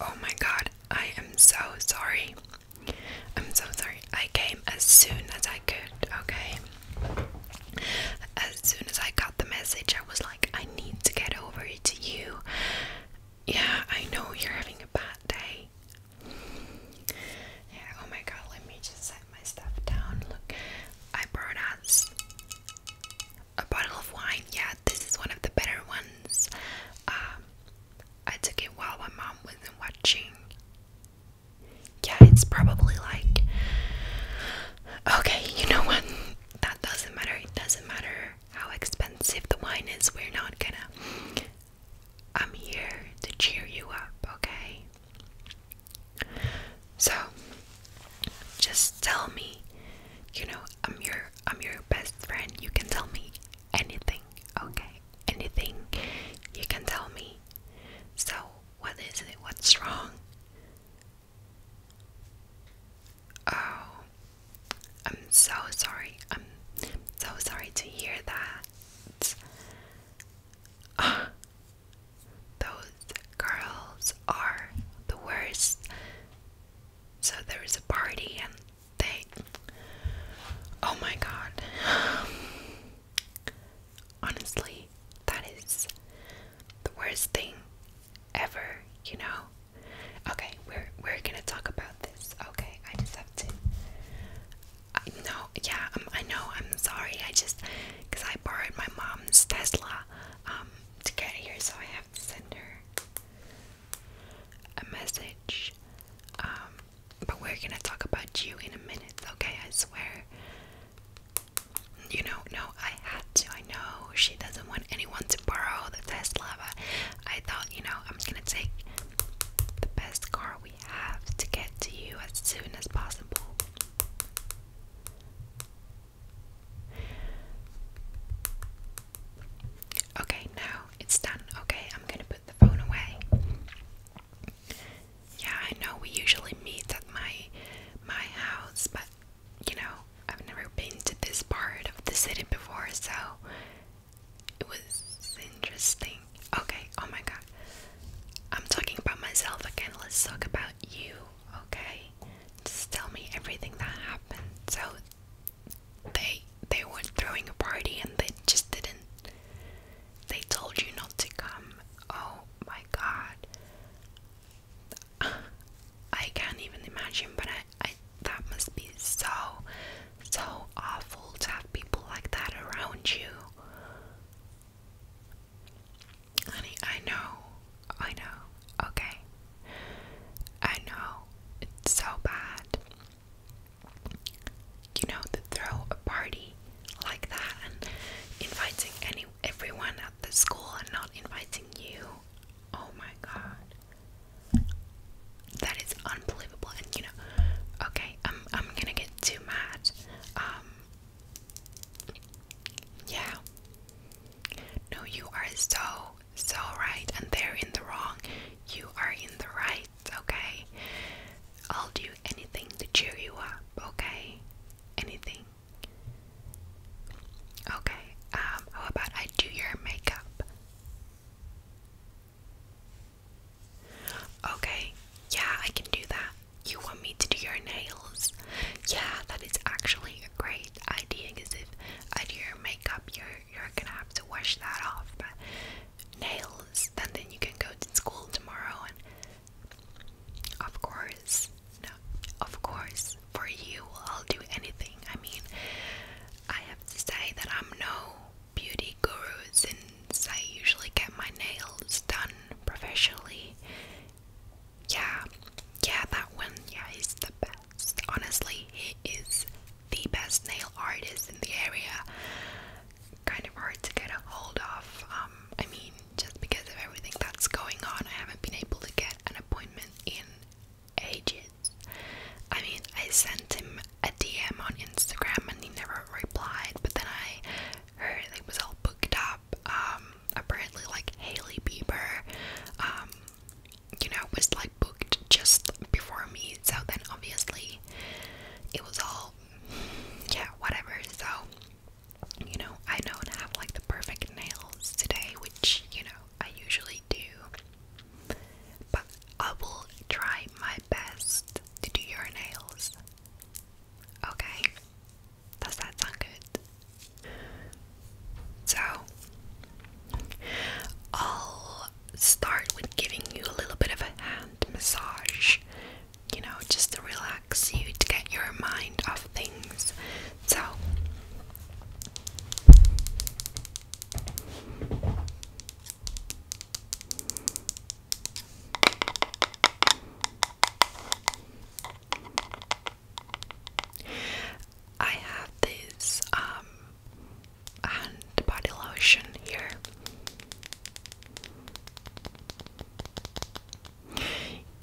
Oh my god, I am so sorry. I'm so sorry. I came as soon as I could, okay? As soon as I got the message, I was like, I need to get over to you. Yeah, I know you're having a bad day. Yeah, oh my god, let me just set my stuff down. Look, I brought us a bottle of wine. Yeah, this is one of the better ones. Um, I took it while my mom wasn't watching. Yeah, it's probably like. Okay, you know what? That doesn't matter. It doesn't matter how expensive the wine is. We're not gonna I'm here to cheer you up, okay? So just tell me, you know, I'm your I'm your best friend. You can tell me anything, okay? Anything you can tell me. So what is it? What's wrong? Oh, I'm so sorry. I'm so sorry to hear that. Those girls are the worst. So there a party and they Oh my god. Honestly, that is the worst thing ever, you know. Okay, we're we're going to talk about this. Okay, I just have to I know, yeah, um, I know, I'm sorry, I just, because I borrowed my mom's Tesla, um, to get here, so I have to send her a message, um, but we're gonna talk about you in a minute, okay, I swear, you know, no, I had to, I know, she doesn't want anyone to borrow the Tesla, but I thought, you know, I'm gonna take the best car we have to get to you as soon as possible. Okay, now it's done. Okay, I'm gonna put the phone away. Yeah, I know we usually meet at my my house, but you know, I've never been to this part of the city before, so it was interesting. Okay, oh my god. I'm talking about myself again. Let's talk about you, okay? Just tell me everything that happened. So they they were throwing a party and they just didn't they told you not to come. Oh my god. I can't even imagine, but I I that must be so so awful to have people like that around you. Honey, I know, I know, okay. I know, it's so bad. You know, to throw a party like that and inviting any everyone at the school and not inviting you. Oh my god that is unbelievable. And you know, okay, I'm I'm gonna get too mad. Um, yeah. No, you are so so right, and they're in the wrong. You are in the right. Okay. I'll do anything to cheer you up. Okay. Anything. Okay. Um. How about I do your makeup? Okay, yeah, I can do that. You want me to do your nails? Yeah, that is actually a great idea because if I do your makeup, you're you're gonna have to wash that off. But nails, and then you can go to school tomorrow. And of course, no, of course, for you, I'll do anything. I mean, I have to say that I'm no beauty guru since I usually get my nails done professionally. Yeah, yeah, that one, yeah, is the best. Honestly, he is the best nail artist in the area. Kind of hard to get a hold of. Um, I mean, just because of everything that's going on, I haven't been able to get an appointment in ages. I mean, I sent him a DM on Instagram and he never replied, but then I heard it was all booked up. Um, apparently, like Haley Bieber, um, you know, was like booked just before me, so then obviously it was all, yeah, whatever. So, you know, I don't have like the perfect nails today, which, you know, I usually do, but I will try my best to do your nails. Okay? Does that sound good? So, I'll start with giving you a little bit of a hand massage, you know, just to relax you, to get your mind off things. So, I have this um, hand body lotion here.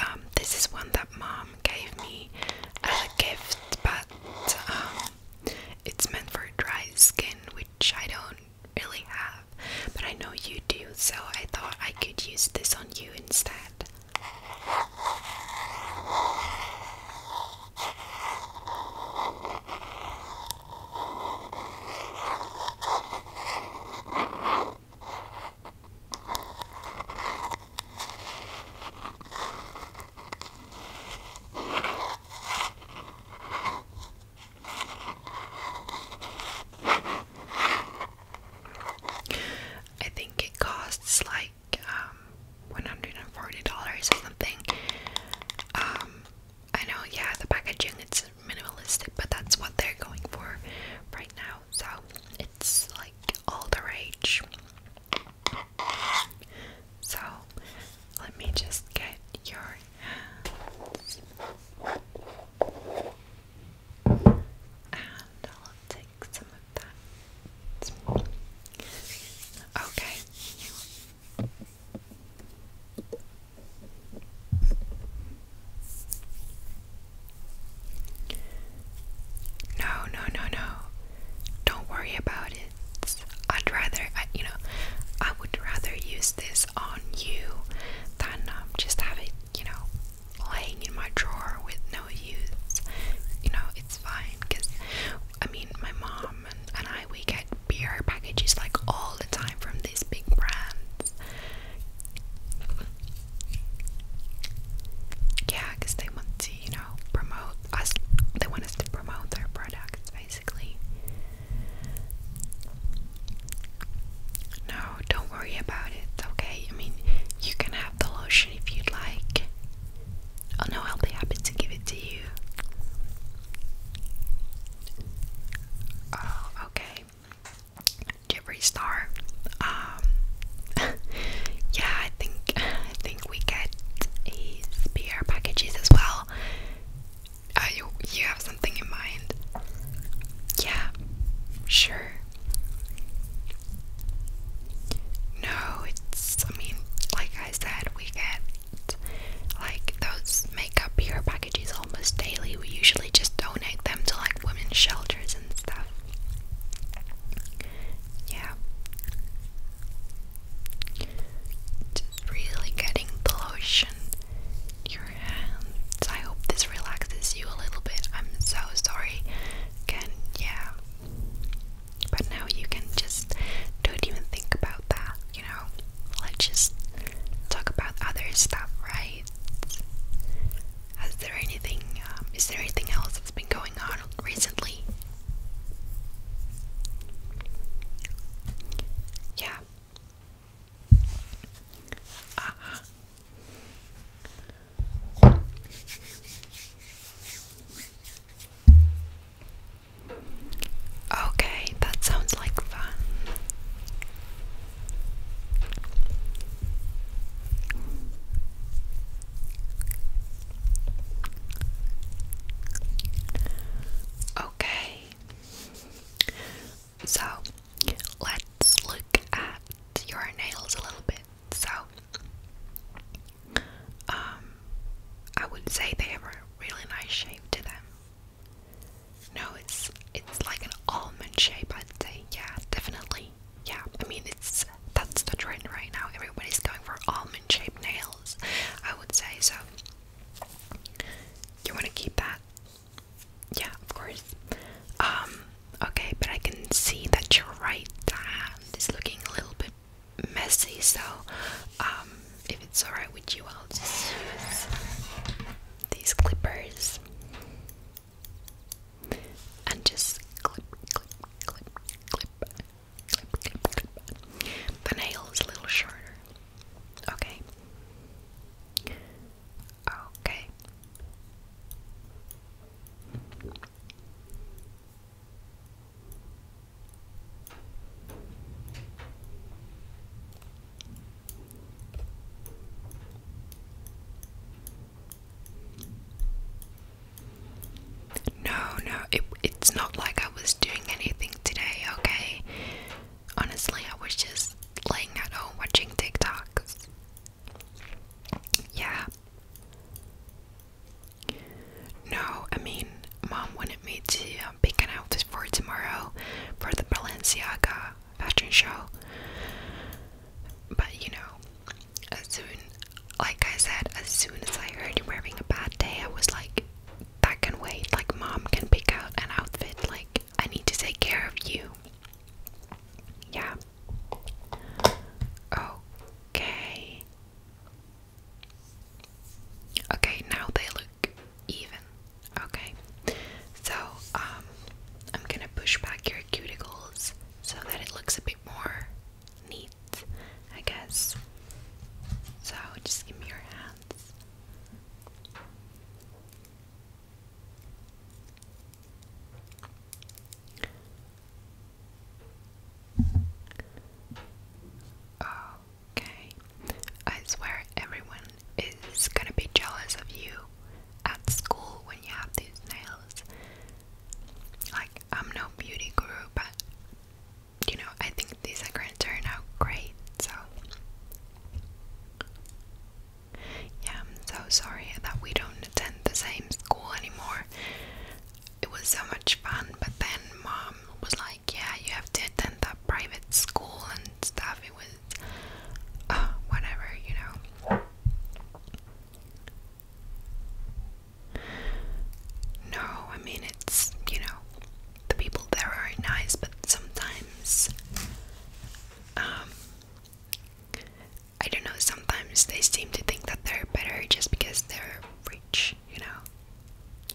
Um, this is one that mom gave me as a gift, but um, it's meant for dry skin, which I don't really have, but I know you do, so I thought I could use this on you instead. I think it costs like um, $140 or something. Um, I know, yeah, the packaging it's minimalistic, but that's what they're going for right now. So it's like all the rage. So let me just get your hands and I'll take some of that. Okay. No, no, no, no. Don't worry about it. I'd rather you know I would rather use this on you than um, just have it you know laying in my drawer with no use you know it's fine because I mean my mom and, and I we get beer packages like all the time from these big brands yeah because they want to you know promote us they want us to promote their products basically no, don't worry about it, okay? I mean, you can have the lotion if you'd like. Oh no, I'll be happy to give it to you. Oh, okay. Jeffree Star. Um yeah, I think I think we get his beer packages as well. Are you you have something in mind? Yeah, sure. No, it's I mean, like I said, we get like those makeup pure packages almost daily. We usually just donate them to like women's shelters and stuff. Yeah really getting the lotion your hands. I hope this relaxes you a little bit. I'm so sorry. Can yeah. But now you can just don't even think about that, you know? Let's just talk about other stuff, right? Is there anything um, is there anything else that's been going on recently? Yeah, Okay, that sounds like fun. Okay, so let's look at your nails a little bit. So um I would say they have a really nice shape to them. No, it's it's like an almond shape I'd say, yeah, definitely. Yeah, I mean it's that's the trend right now. Everybody's going for almond shaped nails, I would say so. You want to keep that? Yeah, of course. Um, okay, but I can see that your right hand is looking a little bit messy, so um, if it's alright with you, I'll just use these clippers and just clip, clip, clip, clip, clip, clip, clip. The nail is a little shorter. Okay. Okay. No, no, it, it's not like I was doing anything today, okay? honestly, I was just laying at home watching TikToks. Yeah. No, I mean, mom wanted me to um, pick an outfit for tomorrow for the Balenciaga fashion show. But you know, as soon, like I said, as soon as I heard you were having a bad day, I was like, that can wait. Like, mom can pick out an outfit. Like, I need to take care of you. Yeah. Okay. Okay, now they look even. Okay. So, um, I'm gonna push back your cuticles so that it looks a bit more neat, I guess. So, just give me your hands. Okay, I swear everyone is gonna be jealous of you at school when you have these nails. Like, I'm no beauty guru, but you know, I think these are going to turn out great. So, yeah, I'm so sorry that we don't attend the same school anymore. It was so much fun, but then mom was like, Yeah, you have to attend that private school and stuff. It was, uh, whatever, you know. No, I mean, it's, you know, the people there are nice, but sometimes, um, I don't know, sometimes they seem to think that they're better just because they're rich, you know?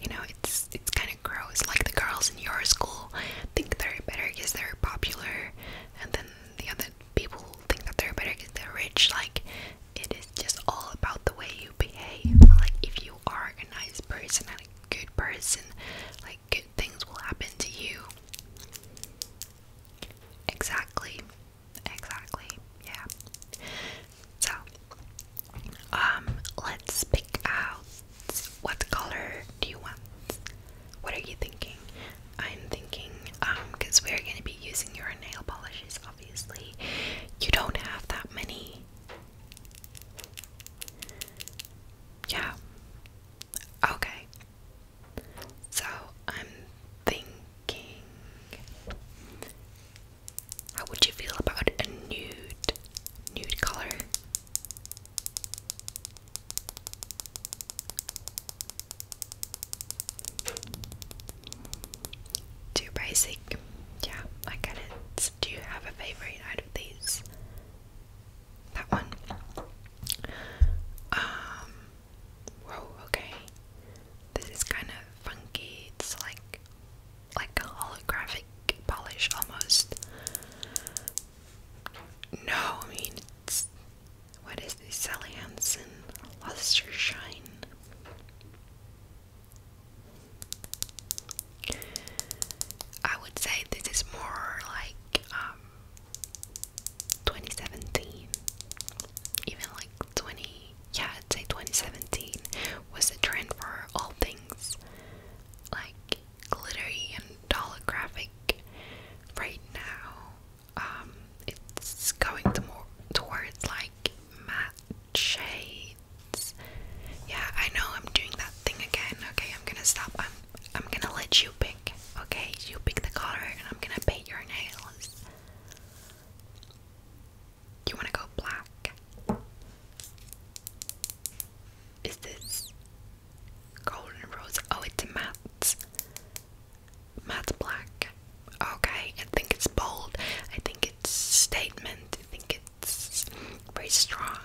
You know, it's it's kind of gross. Like the girls in your school think they're better because they're popular, and then the other people think that they're better because they're rich. Like, it is just all about the way you behave. Like, if you are a nice person and a good person, like good things will happen to you. Exactly. Exactly. Yeah. So, um, let's pick out what color do you want? What are you thinking? I'm thinking, um, because we're going to be using your nail polishes, obviously. You don't have that many yeah. Okay. So I'm thinking how would you feel about a nude nude color? Too basic. Yeah, I get it. Do you have a favorite? these. That one. Um, whoa. Okay. This is kind of funky. It's like, like a holographic polish almost. No, I mean What is this? Sally Hansen Luster Shine. I would say this is more like um, 2017 even like 20 yeah I'd say 2017 was the trend for all things like glittery and holographic right now um, it's going to more towards like matte shades. Yeah, I know I'm doing that thing again. Okay, I'm gonna stop. I'm I'm gonna let you pick. Okay, you pick the color and I'm gonna paint your nails. You wanna go black? Is this golden rose? Oh, it's matte. Matte black. Okay, I think it's bold. I think it's statement. I think it's very strong.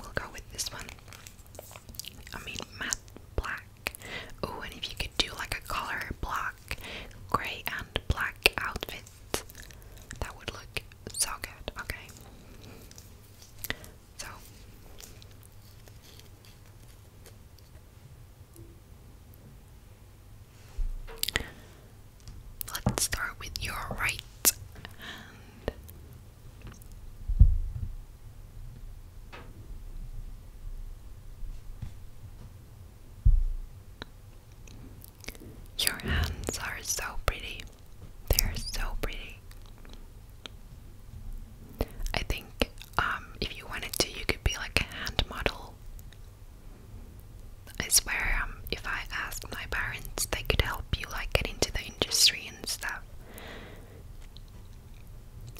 We'll go with this one. I mean, matte black. Oh, and if you could do like a color black, grey, and black outfit, that would look so good. Okay. So. Let's start with your right Your hands are so pretty. They're so pretty. I think um, if you wanted to, you could be like a hand model I swear, um, if I ask my parents, they could help you like get into the industry and stuff.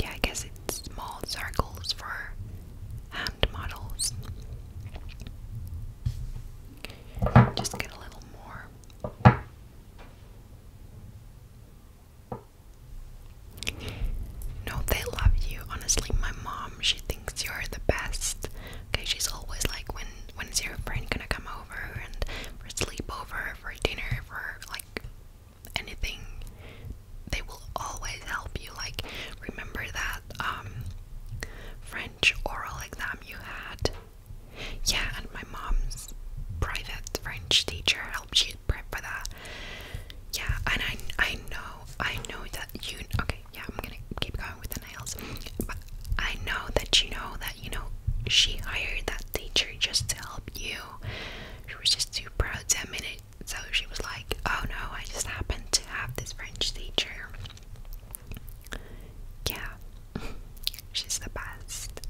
Yeah, I guess it's small circles for hand models. Just get a little more. No, they love you. Honestly, my mom, she thinks you're the best. Okay, she's always like, when when is your friend gonna come over and for sleepover, for dinner, for like anything? They will always help you. Like, remember that um French oral exam you had? Yeah, and my mom's private French teacher helped you prep for that. Yeah, and I I know I know that you okay, yeah, I'm gonna keep going with the nails. I know that you know that you know she hired that teacher just to help you. She was just too proud to admit it. So she was like, Oh no, I just happened to have this French teacher. Yeah. She's the best.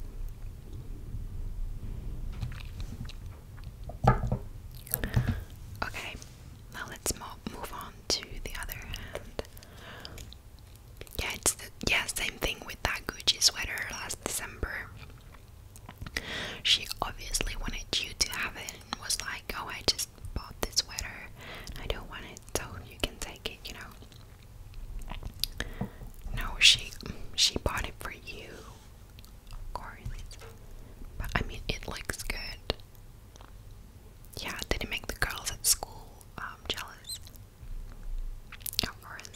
Okay, now let's move on to the other hand. Yeah, it's yeah, same thing with that Gucci sweater last December. She obviously wanted you to have it was like, "Oh, I just bought this sweater. I don't want it, so you can take it." You know. No, she she bought it for you of course. But I mean, it looks good. Yeah, did it make the girls at school um, jealous? Of course.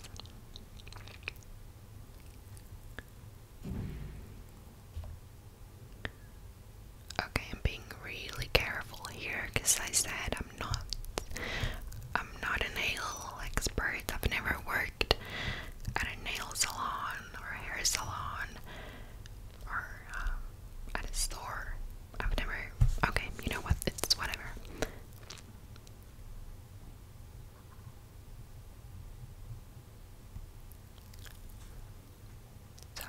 Okay, I'm being really careful here because I said I'm not I'm not a nail expert. I've never worked at a nail salon or a hair salon or um, at a store. I've never. Okay, you know what? It's whatever. So,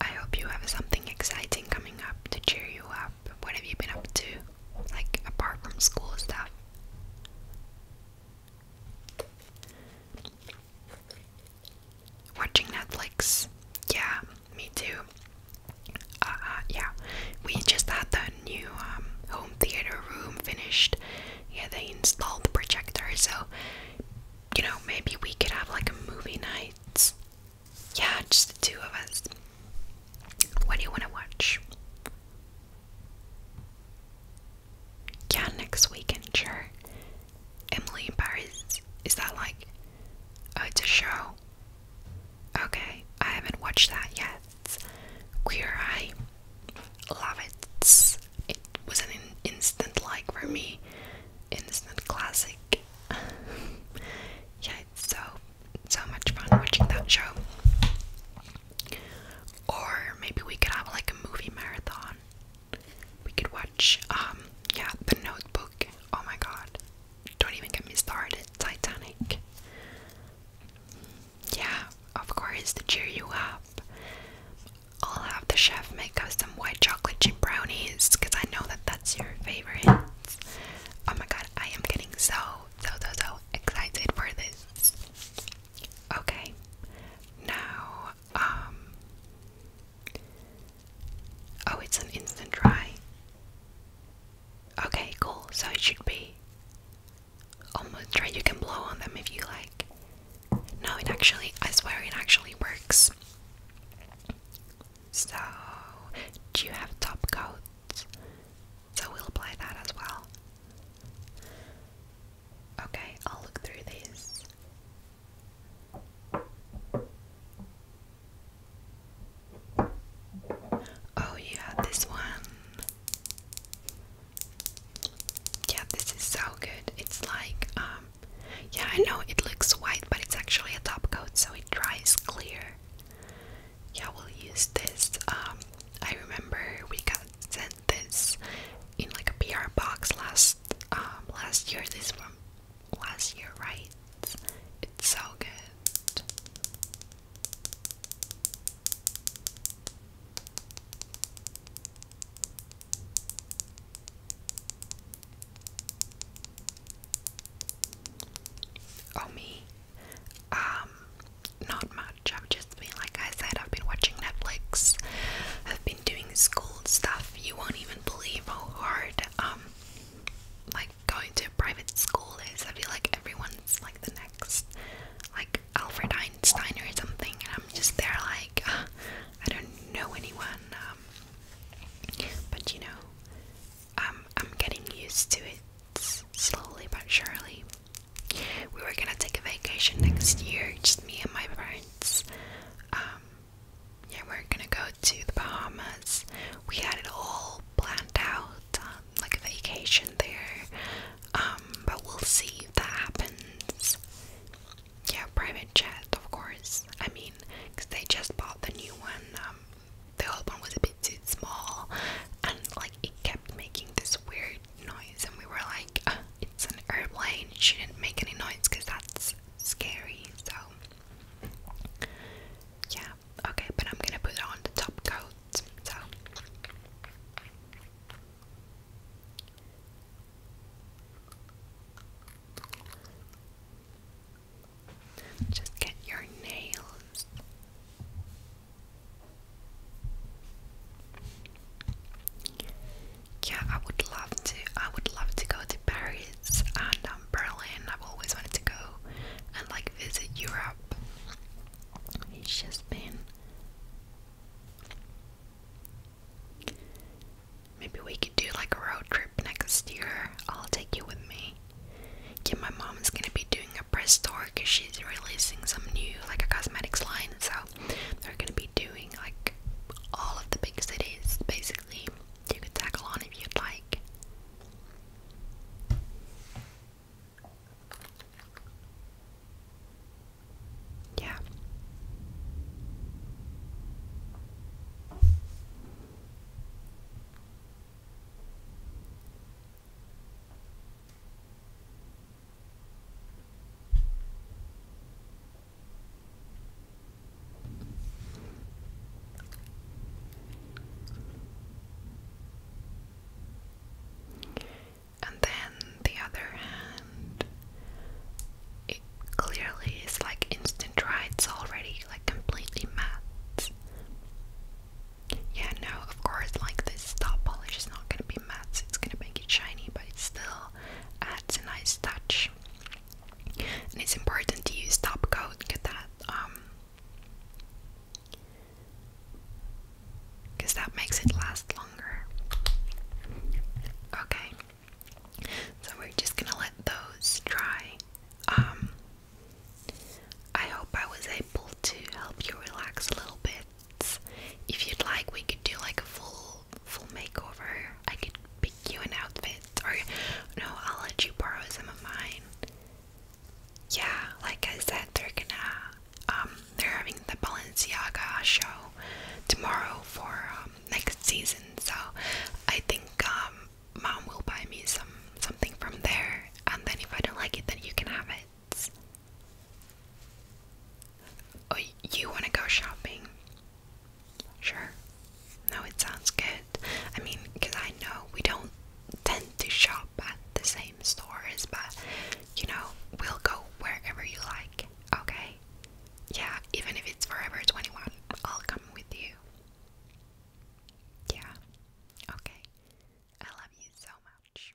I hope you have something exciting coming up to cheer you up. What have you been up to? Like, apart from school stuff? Watching Netflix. Yeah, me too. Uh, yeah, we just had the new um, home theater room finished. Yeah, they installed the projector, so you know maybe we could have like a movie night. Yeah, just the two of us. What do you want to watch? Yeah, next weekend, sure. Emily in Paris. Is that like. Oh, it's a show. Okay, I haven't watched that yet. Queer Eye. Love it. It was an instant like for me. Instant classic. yeah, it's so so much fun watching that show. Or maybe we could have like a movie marathon. We could watch, um, yeah, The Notebook. Oh my god. Don't even get me started. Titanic. Yeah, of course, to cheer you up. I'll have the chef make us some white chocolate chip brownies because I know that that's your favorite. Oh my god, I am getting so, so, so, so excited for this. Okay. Now, um Oh, it's an instant dry. Okay, cool. So it should be almost dry. You can blow on them if you like. No, it actually I swear it actually works. So do you have top coats? So we'll apply that as well. Okay, I'll look through these. Oh, yeah, this one. Yeah, this is so good. It's like, um, yeah, I know it looks white, but it's actually a top coat, so it dries clear. Yeah, we'll use this. Um, I remember we got sent this in like a PR box last um, last year. This from last year, right? It's so good. Oh me, um, not much. I've just been, like I said, I've been watching Netflix. I've been doing school stuff. You won't even believe how hard, um, like going to a private school is. I feel like everyone's like the next, like Alfred Einstein or something, and I'm just there like, uh, I don't know anyone. Um, but you know, um, I'm getting used to it slowly but surely. We were gonna take a vacation next year, just me and my parents. Um, yeah, we are gonna go to the Bahamas. We had it all planned out, um, like a vacation there. Um, but we'll see if that happens. Yeah, private jet, of course. I mean, they just bought the new one. the old one was a bit too small, and like it kept making this weird noise, and we were like, uh, it's an airplane. She didn't make any noise because that's scary. So, yeah, okay, but I'm gonna put on the top coat. So, just get your nails. Yeah, I would love to. I would love to go to Paris and um, Berlin. I've always wanted to go and like visit Europe. It's just been. Maybe we could do like a road trip next year. I'll take you with me. Yeah, my mom is gonna be doing a press tour because she's releasing some new like a cosmetics line. So they're gonna be doing like all of the big cities basically. You could tackle on if you'd like. Yeah. And then the other hand, it clearly is like instant right, it's already like completely matte. Yeah, no, of course, like this top polish is not gonna be matte, it's gonna make it shiny, but it still adds a nice touch. And it's important to use top coat. Get that, because um, that makes it last longer. Okay, so we're just gonna let those dry. Um, I hope I was able to help you relax a little bit if you'd like, we could do like a full full makeover. I could pick you an outfit, or no, I'll let you borrow some of mine. Yeah, like I said, they're gonna um they're having the Balenciaga show tomorrow for um, next season, so I think um mom will buy me some something from there, and then if I don't like it, then you can have it. Oh, you want to go shopping? Sure. No, it sounds good. I mean, because I know we don't tend to shop at the same stores, but you know, we'll go wherever you like, okay? Yeah, even if it's Forever 21, I'll come with you. Yeah, okay. I love you so much.